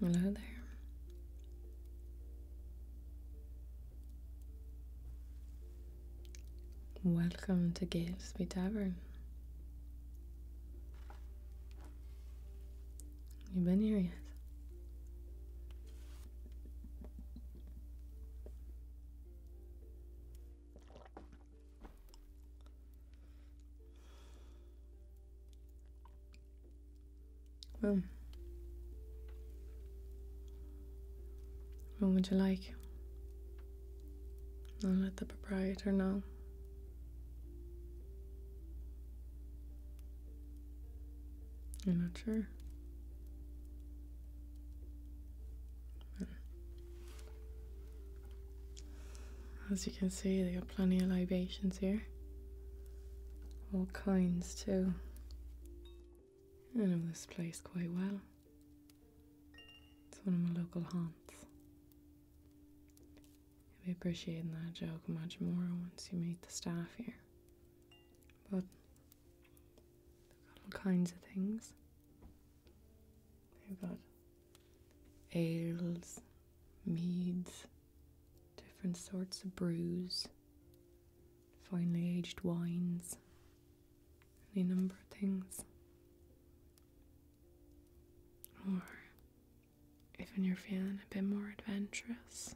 Hello there. Welcome to Galesby Tavern. You been here yet? Well, hmm. what would you like? I'll let the proprietor know. I'm not sure. Hmm. As you can see, there are plenty of libations here. All kinds too. I know this place quite well. It's one of my local haunts. You'll be appreciating that joke much more once you meet the staff here. But they've got all kinds of things. They've got ales, meads, different sorts of brews, finely aged wines, any number of things. Or even you're feeling a bit more adventurous,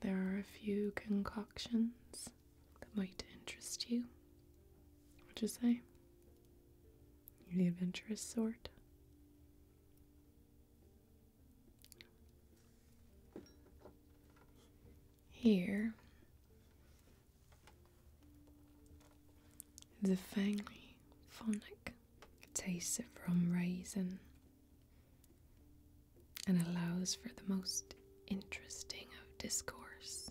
there are a few concoctions that might interest you. Would you say? the adventurous sort. Here, the fangly phonic tastes it from raisin and allows for the most interesting of discourse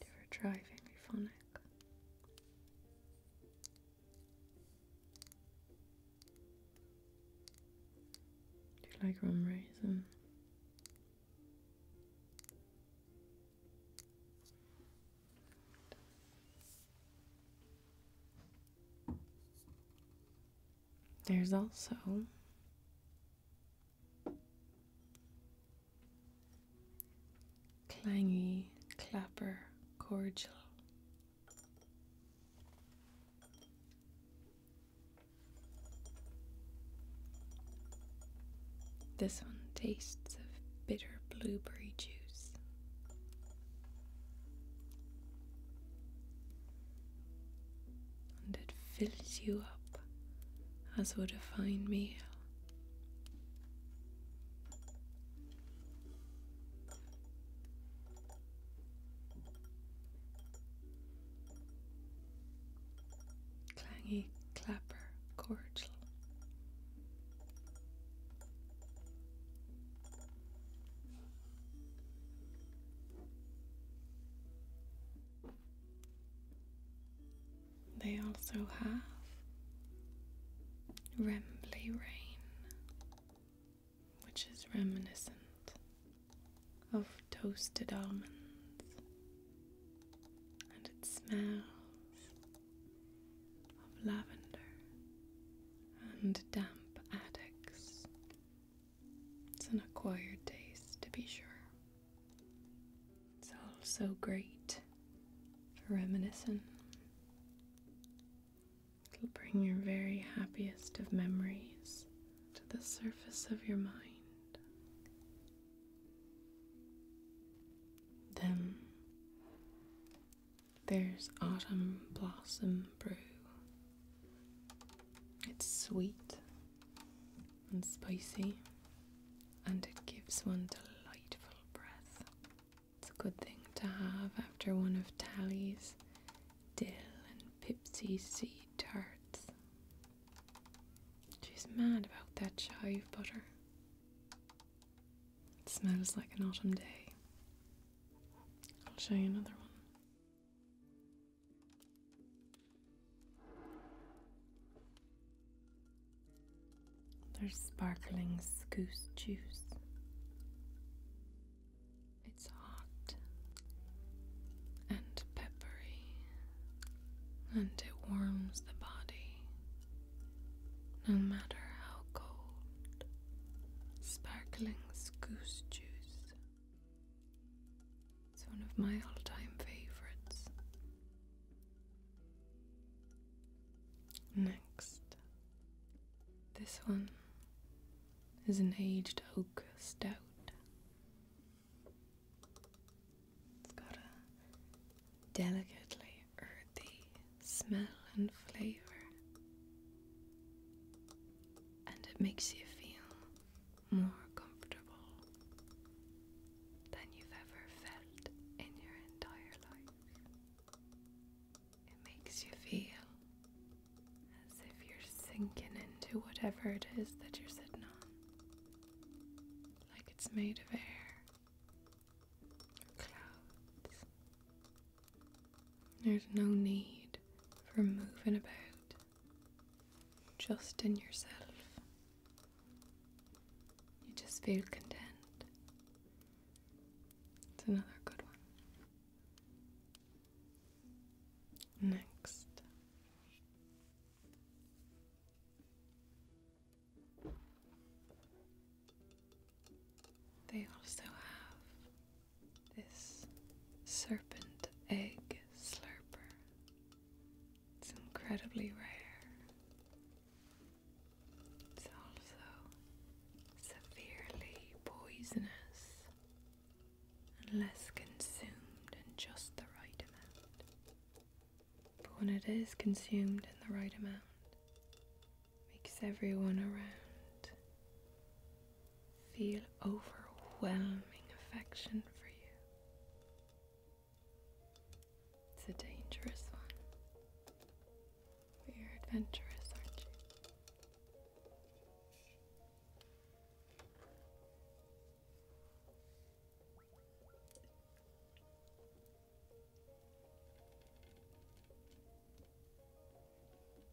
Do for driving euphonic. Do you like rum raisin? There's also clangy, clapper, cordial. This one tastes of bitter blueberry juice and it fills you up as would a fine meal. Clangy clapper cordial they also have Rembley Rain, which is reminiscent of toasted almonds, and it smells of lavender and damp attics. It's an acquired taste, to be sure. It's also great for reminiscing. It'll bring your very happiest of memories to the surface of your mind. Then there's Autumn Blossom Brew. It's sweet and spicy and it gives one delightful breath. It's a good thing to have after one of Tally's dill and pipsy seed tarts. She's mad about that chive butter. It smells like an autumn day. I'll show you another one. There's sparkling goose juice. It's hot and peppery, and it warms the body no matter how cold Sparkling's Goose Juice. It's one of my all time favorites. Next, this one is an aged oak stout. It's got a delicately earthy smell and flavor. And it makes you feel more comfortable than you've ever felt in your entire life. It makes you feel as if you're sinking into whatever it is that you're sitting on, like it's made of air, or clouds, there's no need for moving about, just in yourself. You just feel content. It's another good one. Next. They also have this serpent egg slurper. It's incredibly rare. It's also severely poisonous unless consumed in just the right amount. But when it is consumed in the right amount, makes everyone around feel overwhelming affection for you. It's a dangerous one. But you're adventurous, aren't you?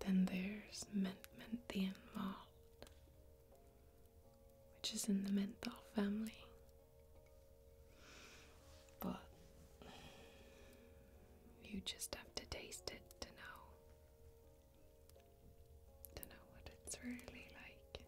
Then there's Mentment which is in the menthol family. But you just have to taste it to know to know what it's really like.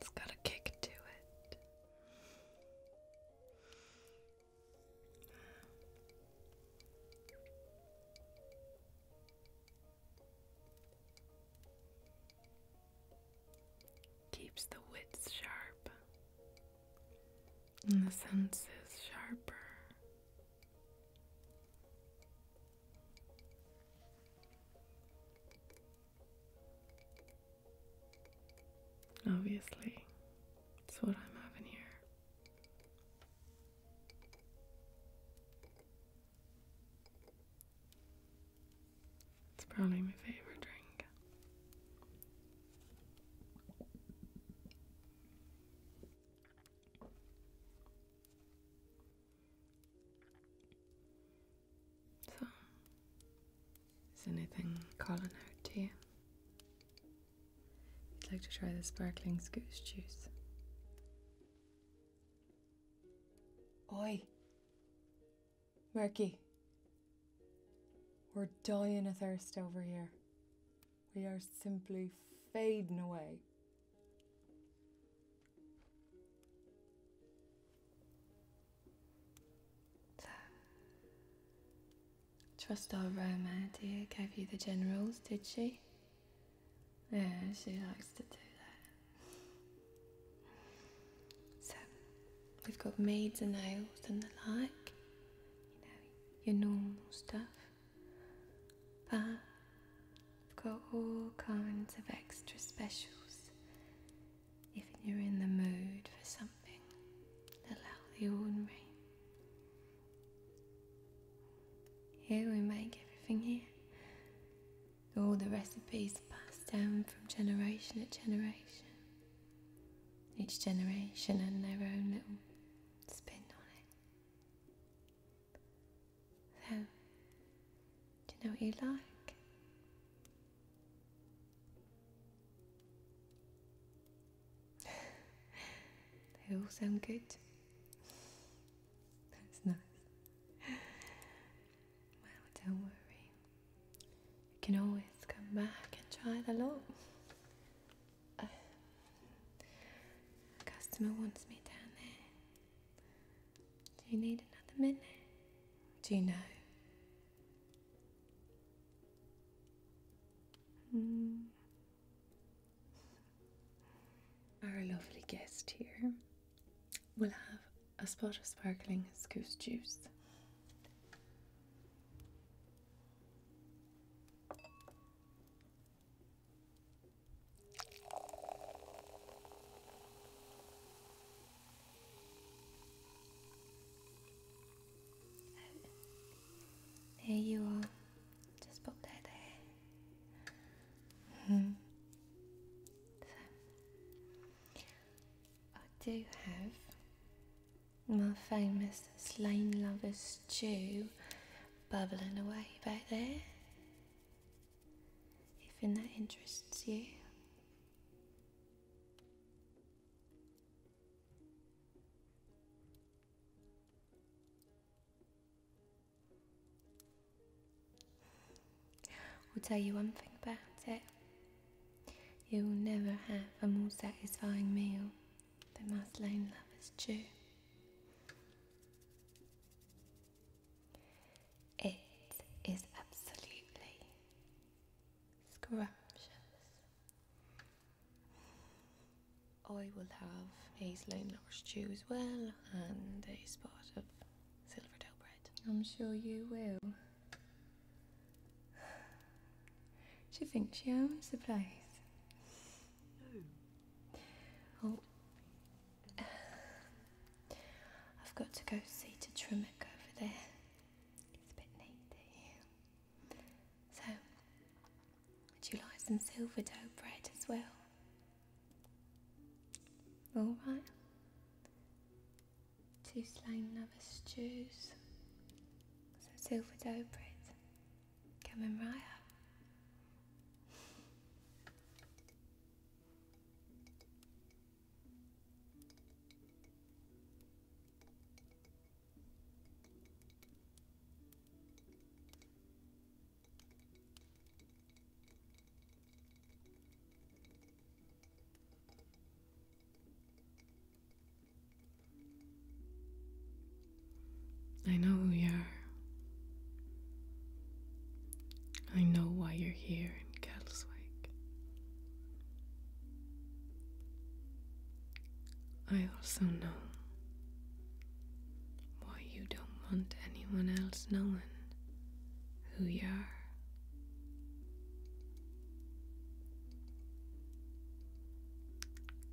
It's got a kick to it. Keeps the wits sharp and the senses sharper. Obviously, it's what I'm having here. It's probably my favorite drink. So, is anything calling out to you? You'd like to try the sparkling goose juice? Oi, Murky, we're dying of thirst over here. We are simply fading away. Trust our Roma, dear, gave you the generals, did she? Yeah, she likes to do that. So, we've got maids and nails and the like, you know, your normal stuff. But we've got all kinds of extra specials if you're in the mood for something a little out the ordinary. Here we make everything here all the recipes passed down from generation to generation, each generation and their own little spin on it. So, do you know what you like? they all sound good. That's nice. Well, don't worry. You can always come back and try the lot. a customer wants me down there. Do you need another minute? Do you know? Mm our lovely guest here will have a spot of sparkling goose juice. There you are. Just pop that there. Hmm. I do have my famous slain lover's stew bubbling away back there. If that interests you. I'll tell you one thing about it. You will never have a more satisfying meal than my slain lover's chew. It is absolutely scrumptious. I will have a slain lover's chew as well and a spot of silver dough bread. I'm sure you will. She thinks she owns the place. No. Oh. oh. I've got to go see to Trimmick over there. It's a bit needy. Eh? So, would you like some silver dough bread as well? Alright. Two slain novice Jews. Some silver dough bread. Coming right up. I know who you are. I know why you're here in Cattleswake. I also know why you don't want anyone else knowing who you are.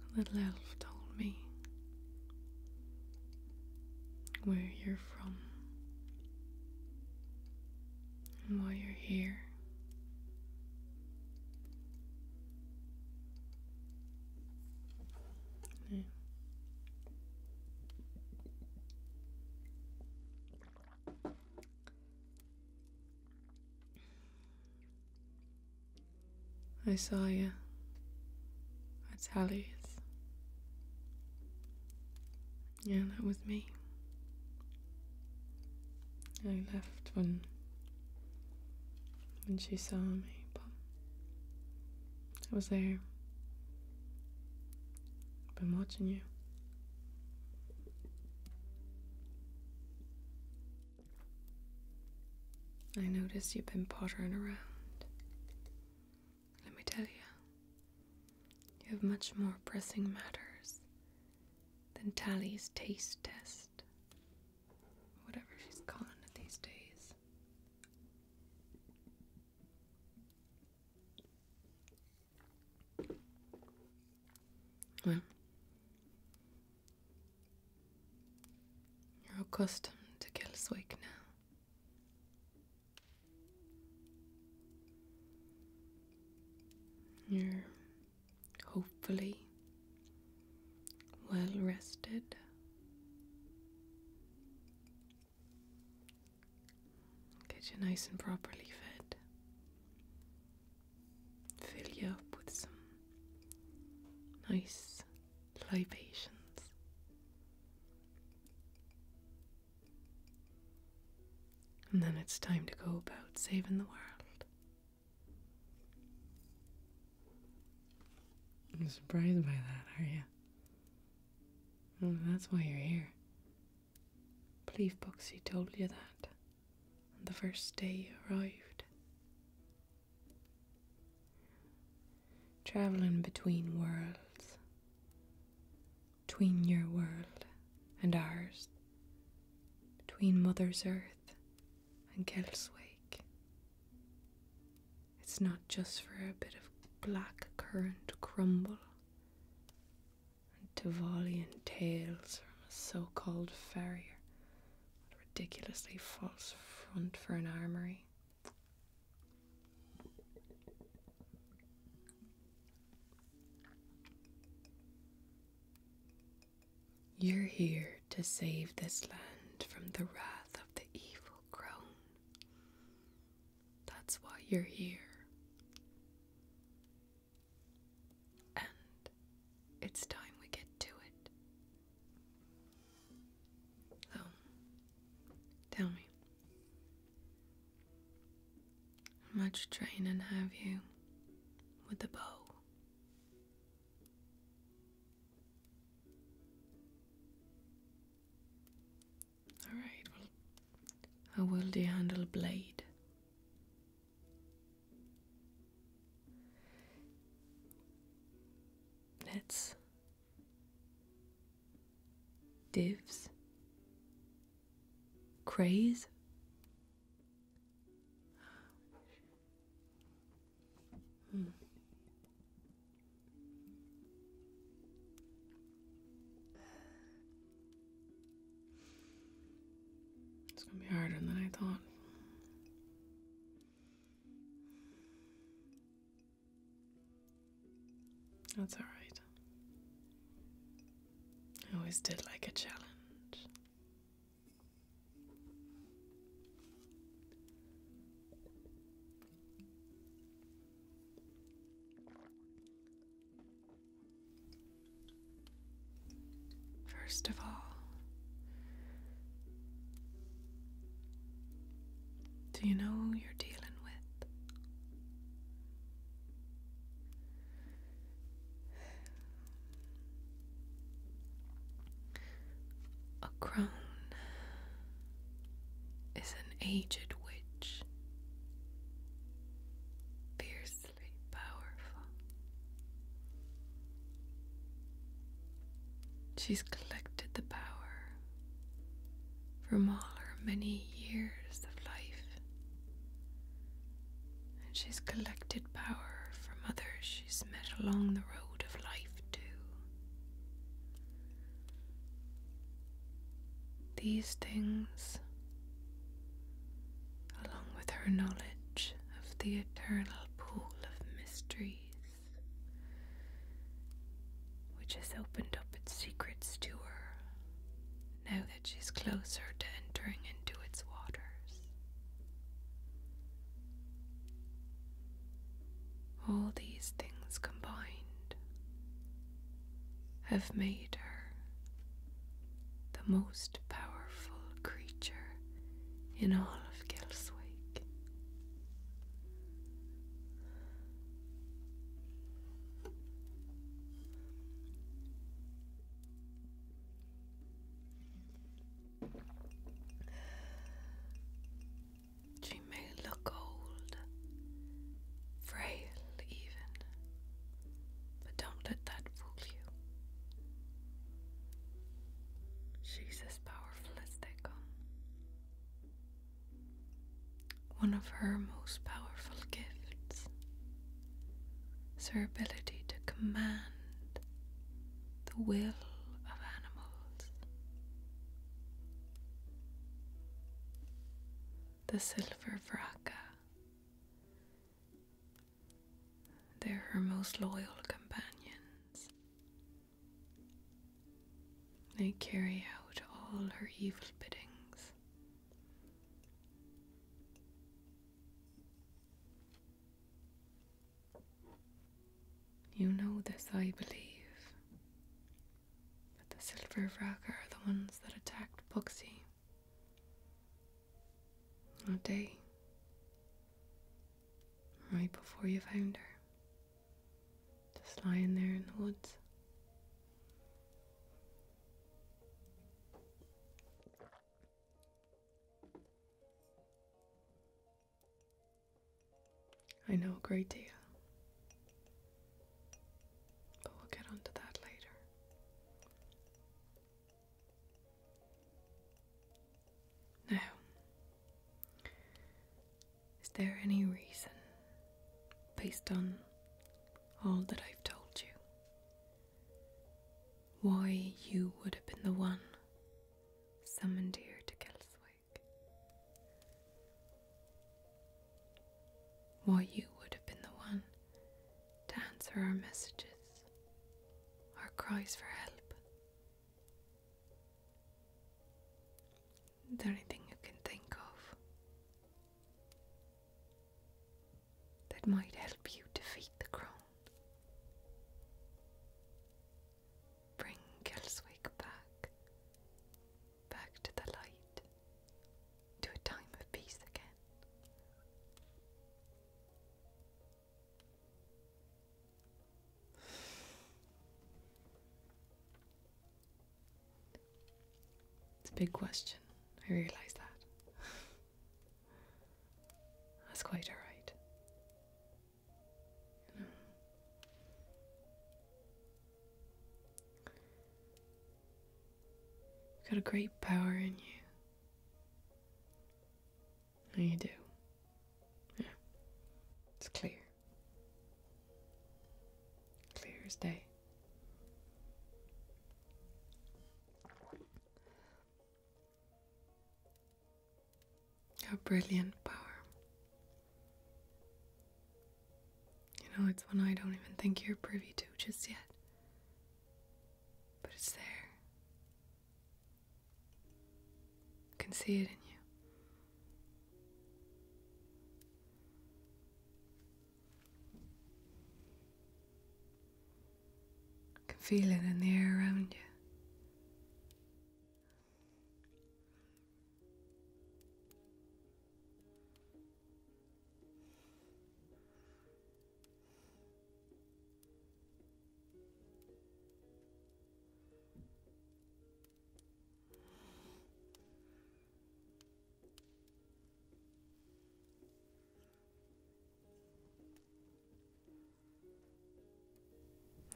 A little elf told me where you're from and why you're here. I saw you at Sally's. Yeah, that was me. I left when when she saw me, but I was there. Been watching you. I noticed you've been pottering around. Let me tell you, you have much more pressing matters than Tally's taste test. Whatever she's calling it these days you're accustomed to Kelswick now. You're hopefully well rested. Get you nice and properly fed. Fill you up with some nice libations. And then it's time to go about saving the world. I'm surprised by that, are you? Oh, that's why you're here. Believe Boxy told you that on the first day you arrived. Travelling between worlds, between your world and ours, between Mother's Earth and Kelswake. It's not just for a bit of black currant crumble and Tivolian tales from a so called farrier. What a ridiculously false front for an armory. You're here to save this land from the wrath of the evil crone. That's why you're here. And it's time we get to it. So, tell me. much training have you with the bow? Alright, how will do handle blade? Let's divs craze hmm. It's gonna be harder than I thought. That's all right. I always did like a challenge. First of all, do you know who you're dealing with? A crone is an aged witch, fiercely powerful. She's collected the power from all her many years of life, and she's collected power from others she's met along the road of life, too. These things, along with her knowledge of the eternal pool of mysteries, which has opened up its secrets to her now that she's closer to entering into its waters. All these things combined have made her the most powerful creature in all of Gelswake. She may look old, frail even, but don't let that fool you. She's as powerful as they come. One of her most powerful gifts is her ability to command the will of animals the silver Vraka. They're her most loyal companions. They carry out all her evil biddings. You know this, I believe. But the Silver Wracker are the ones that attacked Bugsy. That day. Right before you found her. Just lying there in the woods. I know a great deal. But we'll get onto that later. Now, is there any reason, based on all that I've told you, why you would have been the one summoned here to Kelswick? Why you would have been the one to answer our messages, our cries for help. The only thing you can think of that might help you defeat the crown. Bring Gelswick back back to the light, to a time of peace again. It's a big question, I realise that. That's quite alright. You've got a great power in you. And you do. Yeah. It's clear. Clear as day. A brilliant power. You know, it's one I don't even think you're privy to just yet. But it's there. I can see it in you. I can feel it in the air around you.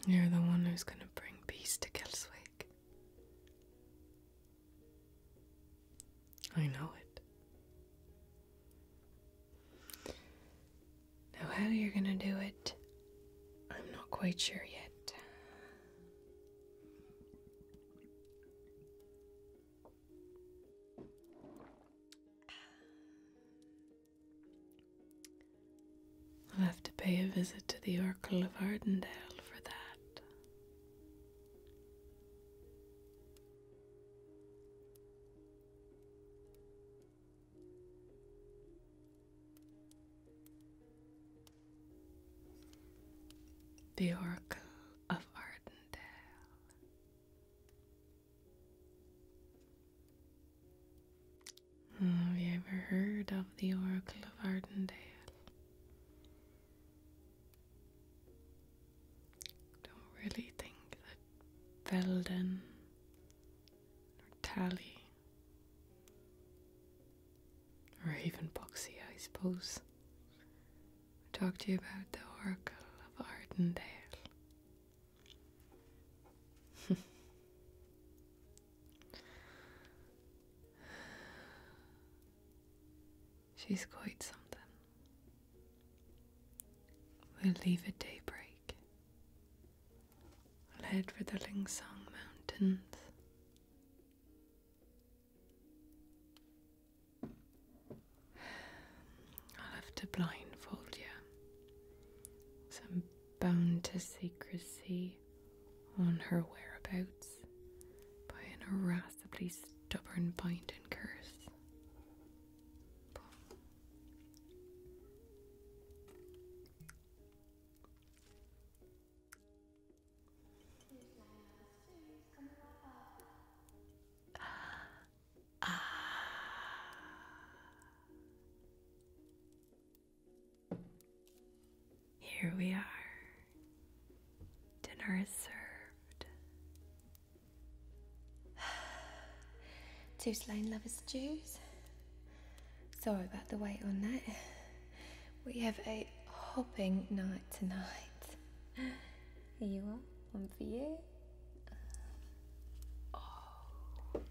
You're the one who's going to bring peace to Kelswick. I know it. Now, how you're gonna do it, I'm not quite sure yet. I'll have to pay a visit to the Oracle of Ardendale for that. The Oracle of Ardendale. Have you ever heard of the Oracle of Ardendale? Don't really think that Velden or Tally or even Boxy, I suppose. I talked to you about the Oracle of Ardendale. She's quite something. We'll leave at daybreak. we head for the Ling Song Mountains. I'll have to blindfold you. So I'm bound to secrecy on her whereabouts by an arrest possibly stubborn bind and curse. Ah. Here we are. Dinner is served. Two slain lovers' Jews. Sorry about the wait on that. We have a hopping night tonight. Here you are, one for you. Oh.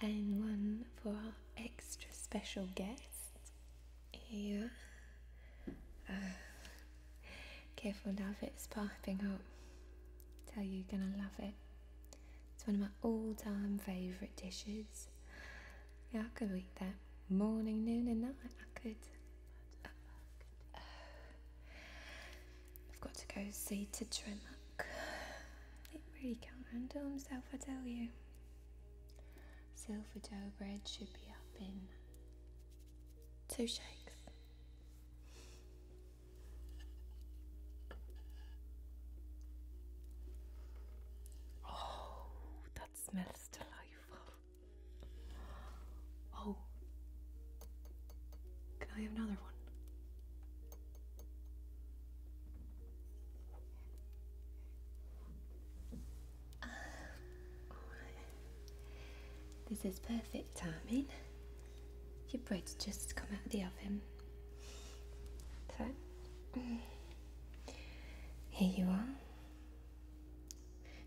And one for our extra special guest. Yeah. careful now it's piping up. tell you, you're gonna love it. It's one of my all-time favourite dishes. Yeah, I could eat that morning, noon, and night. I could. I've got to go see to Tremuck. He really can't handle himself, I tell you. Silver dough bread should be up in two shakes. Oh, that smells delightful. Oh, can I have another one? Um, this is perfect timing. Your bread's just come out of the oven. So, here you are.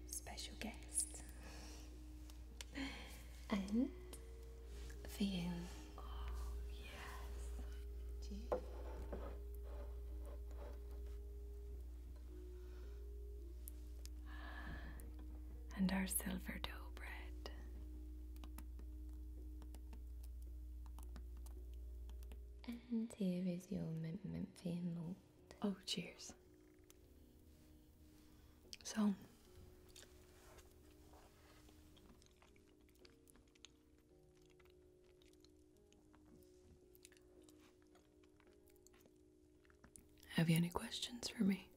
Special guest. And for you. Oh, and our silver dough bread. And here is your mint mint fear Oh, cheers. So, have you any questions for me?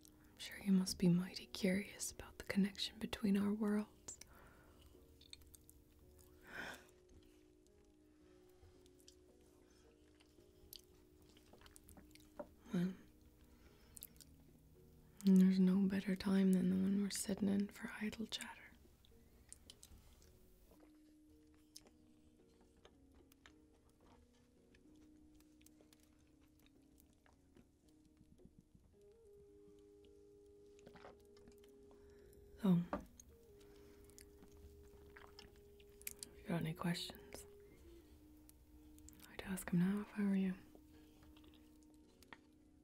I'm sure you must be mighty curious about the connection between our worlds. Well, there's no better time than the one we're sitting in for idle chatter. So, oh. if you got any questions, I'd ask him now if I were you.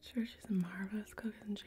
Sure, she's a marvelous cook, isn't she?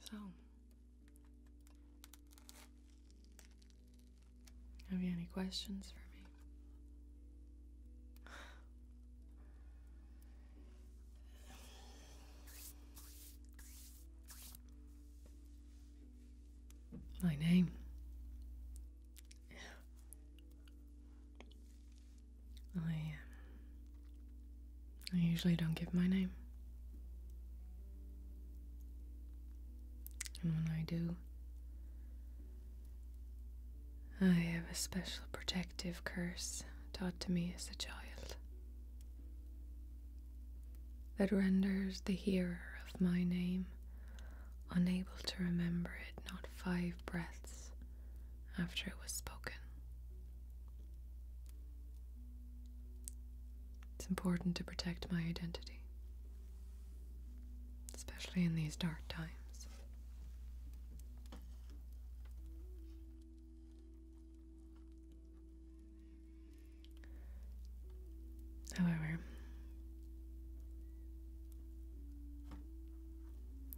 So, have you any questions for me? My name I, um, I usually don't give my name. And when I do, I have a special protective curse taught to me as a child that renders the hearer of my name unable to remember it not five breaths after it was spoken. It's important to protect my identity, especially in these dark times. However,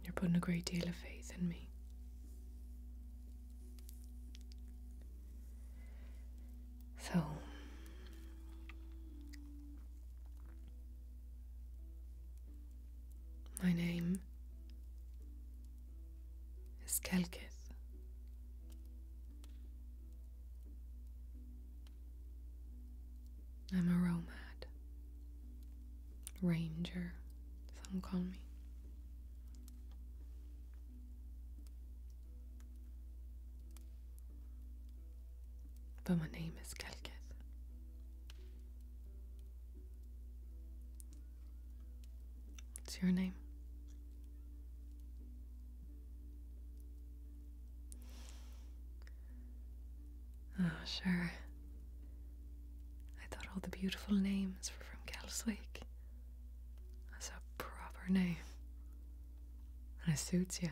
you're putting a great deal of faith in me. So, my name is Kelkith. I'm a Romad ranger, some call me. But my name is Kelketh. What's your name? Oh, sure. I thought all the beautiful names were from Kelslake. That's a proper name. And it suits you,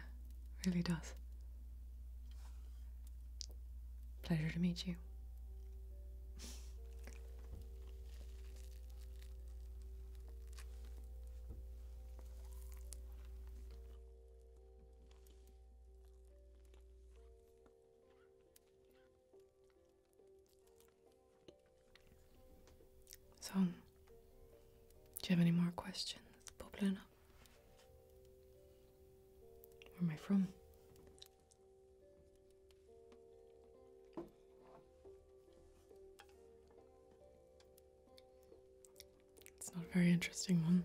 it really does. Pleasure to meet you. So, do you have any more questions bubbling Where am I from? It's not a very interesting one.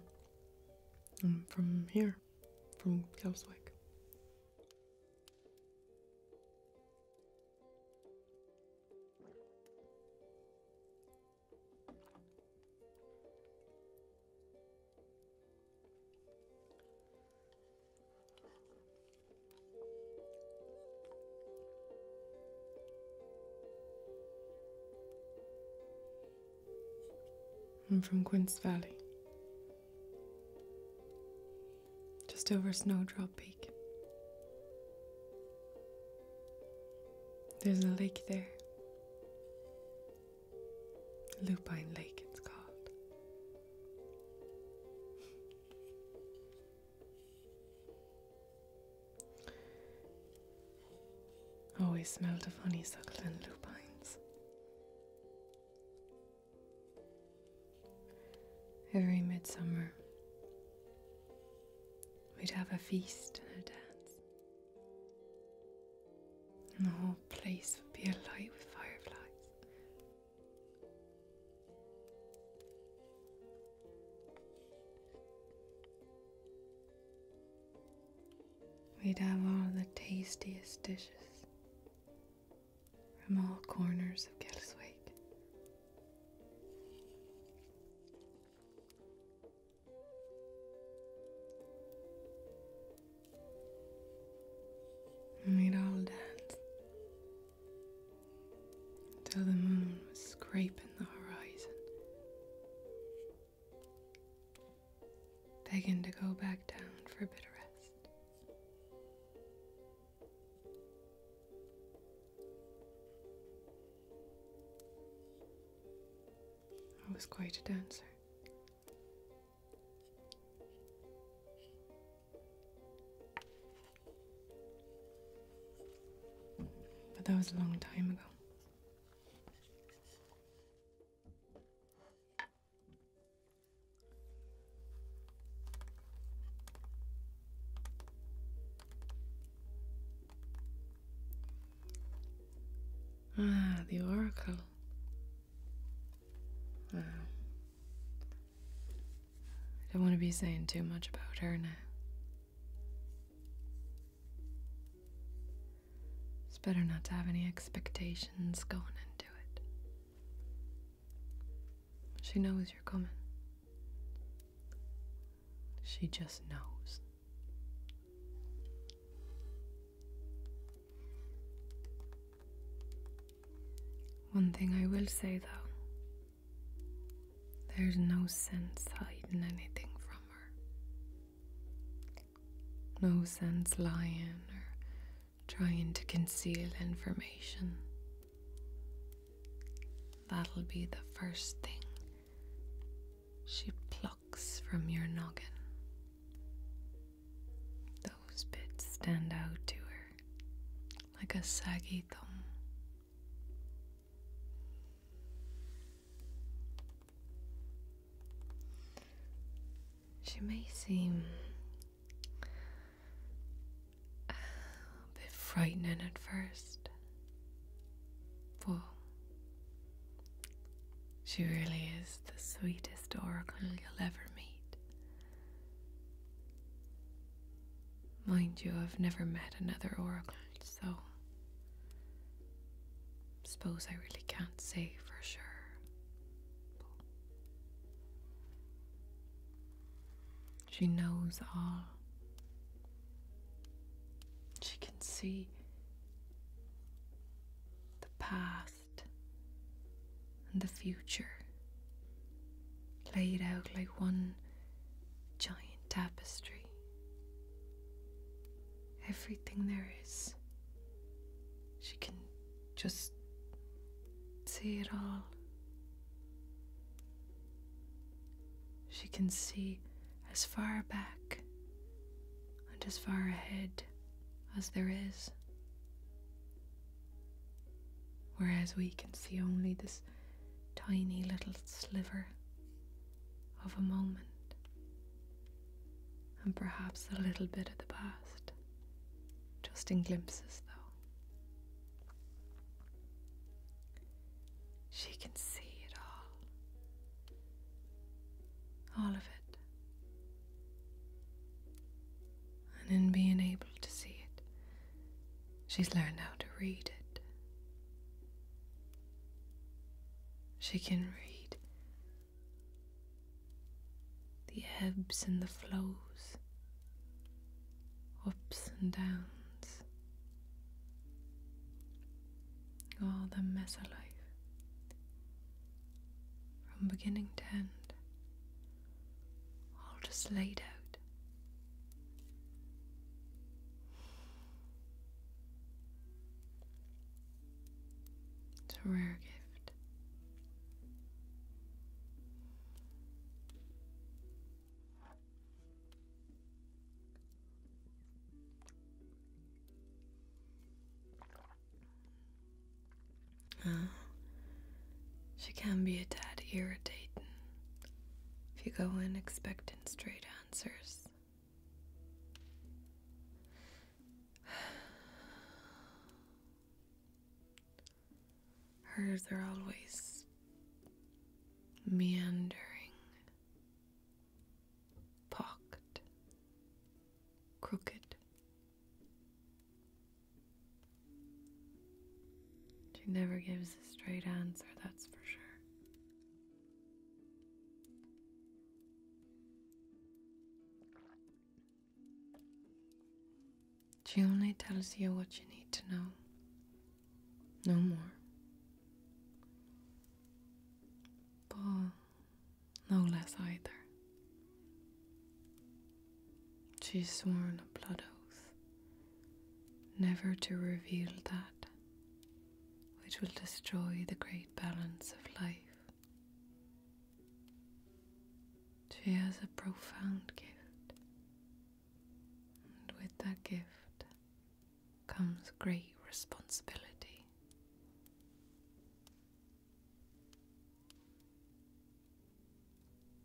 I'm from here, from Gelswick. I'm from Quince Valley, just over Snowdrop Peak. There's a lake there. Lupine Lake, it's called. Always smelled of honeysuckle and lupines. Every midsummer, we'd have a feast and a dance. And the whole place would be alight with fireflies. We'd have all the tastiest dishes from all corners of Gelswick. we'd all dance till the moon was scraping the horizon begging to go back down for a bit of rest. I was quite a dancer. But that was a long time ago. Ah, the oracle. I don't want to be saying too much about her now. It's better not to have any expectations going into it. She knows you're coming. She just knows. One thing I will say though there's no sense hiding anything from her. No sense lying or trying to conceal information. That'll be the first thing she plucks from your noggin. Those bits stand out to her like a saggy thumb. She may seem a bit frightening at first. But she really is the sweetest oracle you'll ever meet. Mind you, I've never met another oracle, so suppose I really can't say for sure. She knows all. She can see the past and the future laid out like one giant tapestry. Everything there is, she can just see it all. She can see as far back and as far ahead as there is. Whereas we can see only this tiny little sliver of a moment and perhaps a little bit of the past. Just in glimpses, though. She can see it all. All of it. And in being able to see it, she's learned how to read it. She can read the ebbs and the flows, ups and downs, all the mess of life, from beginning to end, all just laid out. It's a rare gift she can be a tad irritating if you go in expecting straight answers. Hers are always meandering, pocked, crooked. She never gives a straight answer, that's for sure. She only tells you what you need to know. No more. But no less either. She's sworn a blood oath, never to reveal that which will destroy the great balance of life. She has a profound gift, and with that gift comes great responsibility.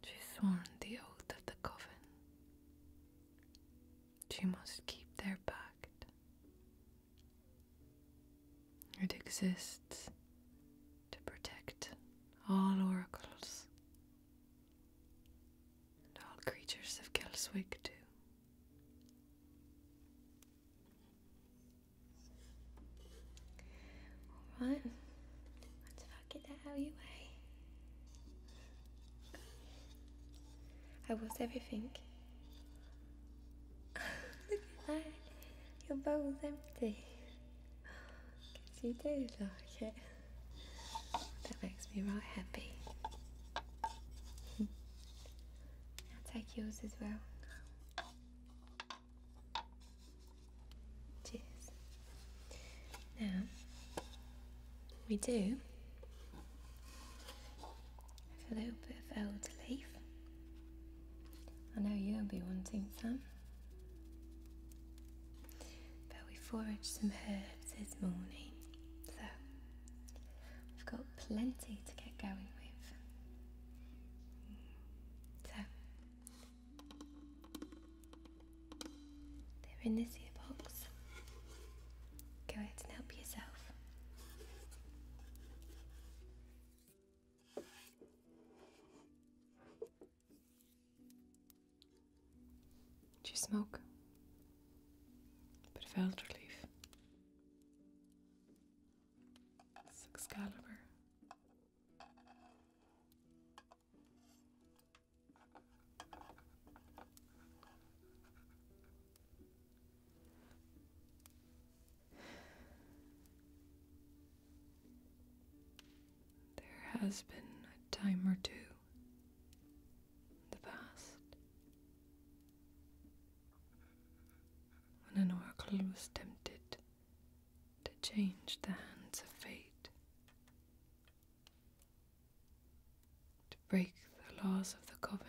She's sworn the oath of the covenant. She must keep their pact. It exists to protect all oracles and all creatures of Kelswick, too. Alright, let's fuck it out your way. I was everything. Look at that. Your bowl's empty. Because you do like it. That makes me right happy. I'll take yours as well. Cheers. Now, we do have a little bit of elder leaf. I know you'll be wanting some. But we foraged some herbs this morning, so we've got plenty to get going with. So, they're in this here box. Go ahead and help yourself. Did you smoke? Bit of felt relief. It's Excalibur. There has been a time or two in the past when an oracle was tempted to change the hands of fate, to break the laws of the coven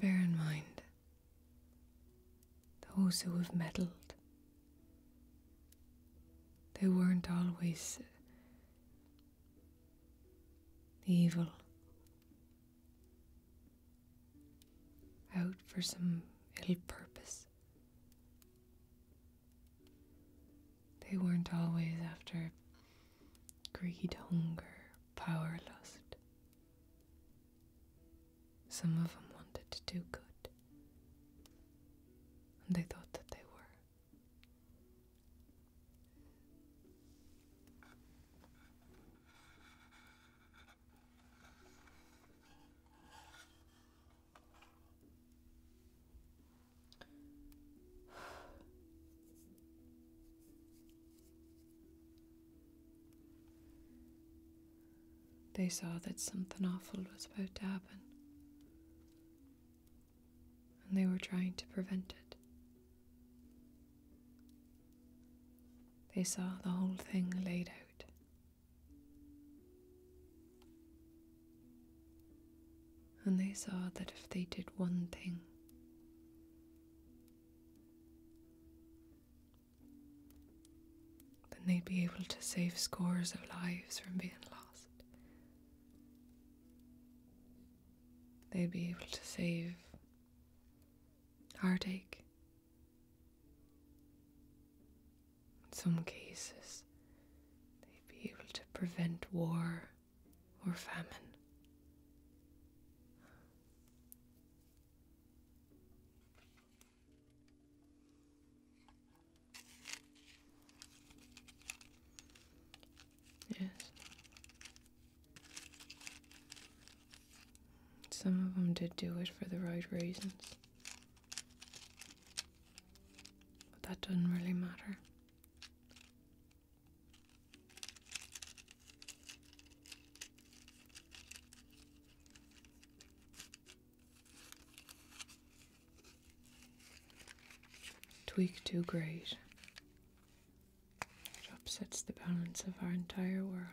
bear in mind those who have meddled, they weren't always evil out for some ill purpose. They weren't always after greed, hunger, power, lust. Some of them wanted to do good, and they thought that they were. They saw that something awful was about to happen, and they were trying to prevent it. They saw the whole thing laid out. And they saw that if they did one thing, then they'd be able to save scores of lives from being lost. They'd be able to save heartache in some cases, they'd be able to prevent war or famine. Yes. Some of them did do it for the right reasons. But that doesn't really matter. Tweak too great. It upsets the balance of our entire world.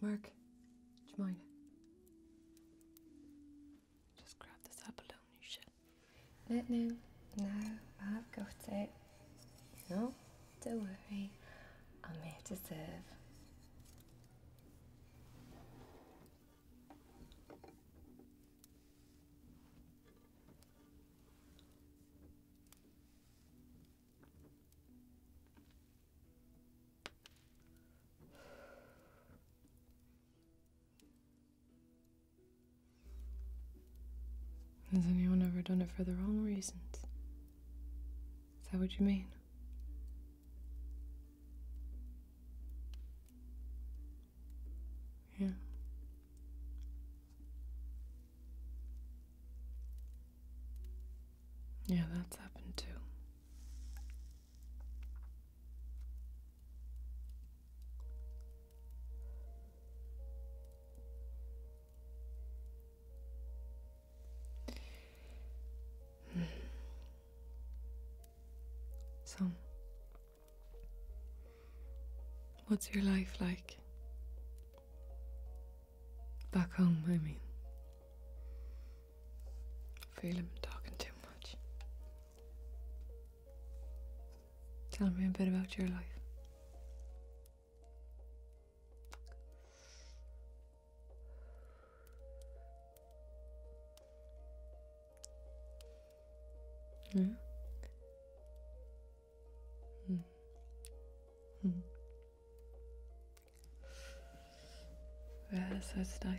Mark, do you mind? Just grab this abalone shit. no, no, I've got it. No, don't worry. I'm here to serve. Has anyone ever done it for the wrong reasons? Is that what you mean? Yeah. Yeah, that's happened too. So, What's your life like? Back home, I mean. I feel I'm talking too much. Tell me a bit about your life. Yeah. Hmm? Mm. Yes, that's nice.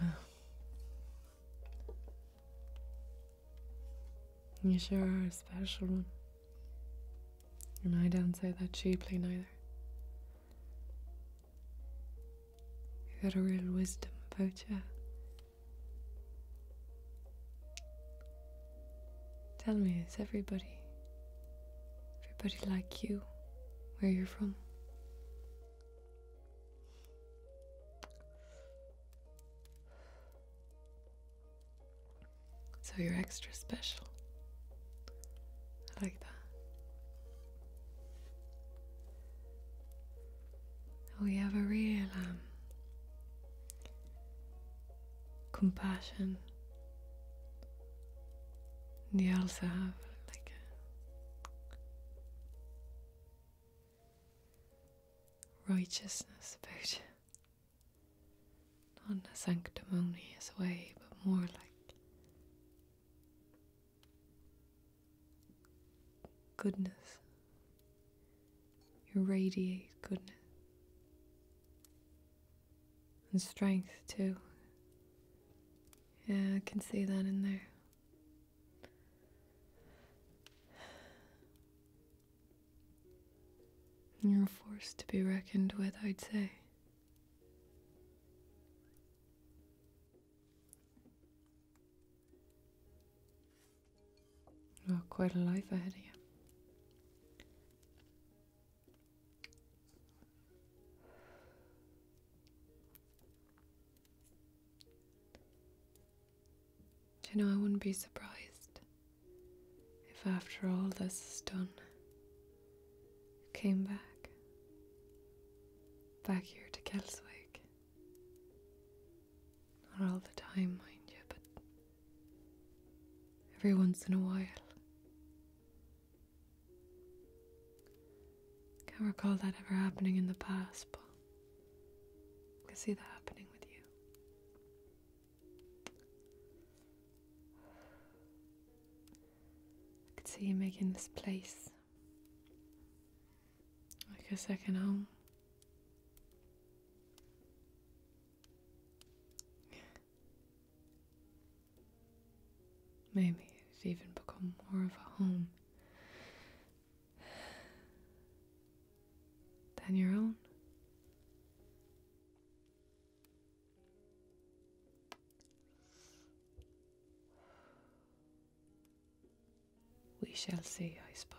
You sure are a special one. And I don't say that cheaply neither. You got a real wisdom about you. Tell me, is everybody, everybody like you, where you're from? So you're extra special. I like that. We have a real um, compassion. They also have like righteousness about you. Not a sanctimonious way, but more like goodness. You radiate goodness and strength too. Yeah, I can see that in there. You're a force to be reckoned with, I'd say quite a life ahead of you. you know, I wouldn't be surprised if after all this is done, I came back, back here to Kelswick not all the time, mind you, but every once in a while. Can't recall that ever happening in the past, but I can see that happening with you. I can see you making this place like a second home. Maybe it's even become more of a home than your own. We shall see, I suppose.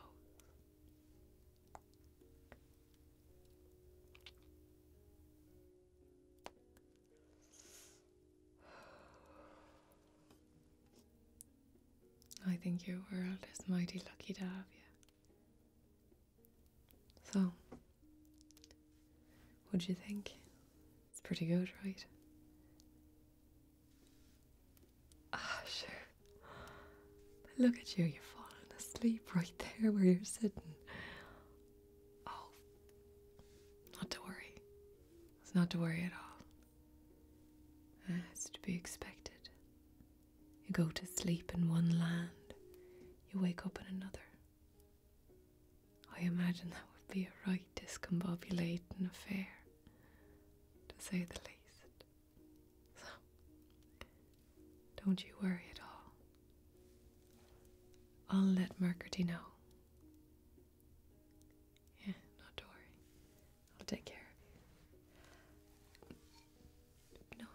I think your world is mighty lucky to have you. So, what do you think? It's pretty good, right? Ah, sure. look at you, you're falling asleep right there where you're sitting. Oh, not to worry. It's not to worry at all. Ah, it's to be expected. You go to sleep in one land, you wake up in another. I imagine that would be a right discombobulating affair, to say the least. So, don't you worry at all. I'll let Mercurty know. Yeah, not to worry. I'll take care of you. No,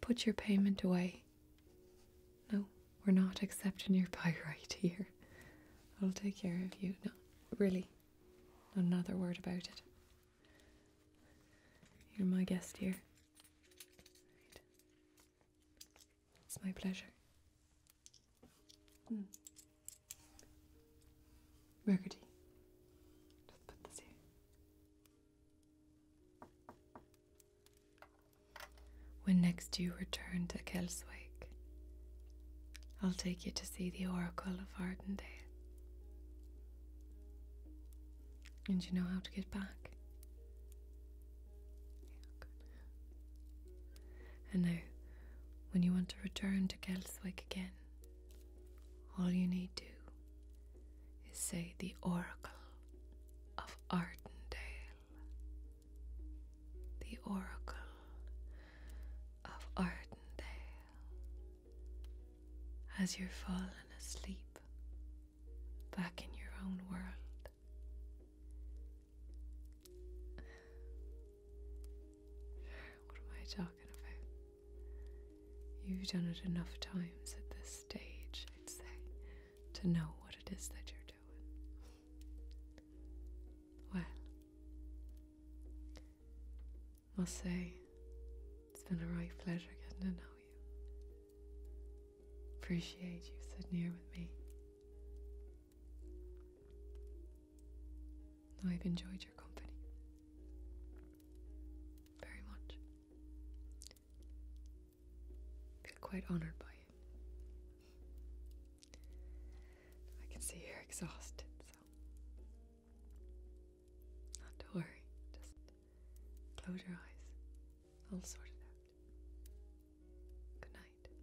put your payment away. No, we're not accepting your buy right here. I'll take care of you. Not really. another word about it. You're my guest here. It's my pleasure. Mm. Just put this here. When next you return to Kelswick, I'll take you to see the Oracle of Ardendale. And you know how to get back. And now, when you want to return to Gelswick again, all you need to is say the Oracle of Ardendale. The Oracle of Ardendale as you're falling asleep back in your own world. What am I talking about? You've done it enough times at this stage, I'd say, to know what it is that you're doing. Well, must say, it's been a right pleasure getting to know you. Appreciate you sitting here with me. I've enjoyed your company very much. I feel quite honoured by it. I can see you're exhausted, so not to worry, just close your eyes. I'll sort it out. Good night. Good night.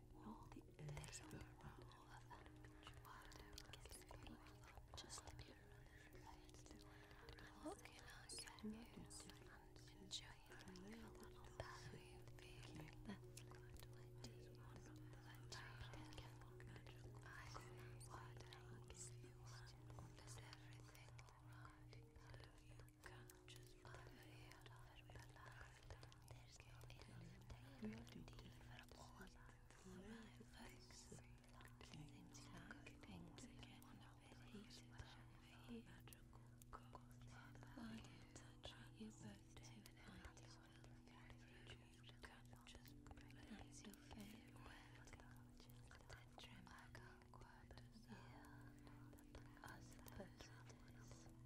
all the there's a roll of unbeach water gets me just a bit Looking on canyons and enjoying a little pathway feeling that float when you want to I what I gives you one does right. You can't just put your head over the there's no integrity for all of folks. Seems like things are getting a bit heated over here. I am touching you your favorite word. Tetramacal quad. Yeah. I suppose it is.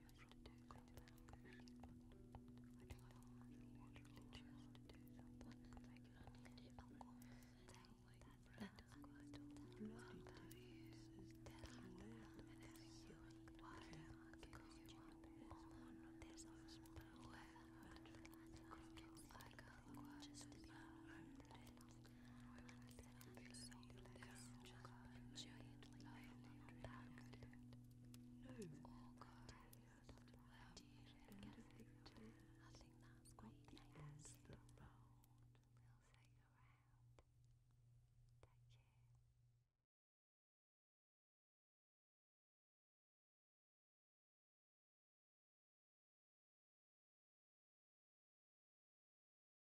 choose to do something. I do want you choose to do something. Like I need it. That that's quite all. What it is is that you love anything you want. Because you want more. There's no spell left. Because I can't just be around. I want to be so just gently pulling back. No, all good. Well, dear, I think that's great. That's the road. We'll see you around. Take care.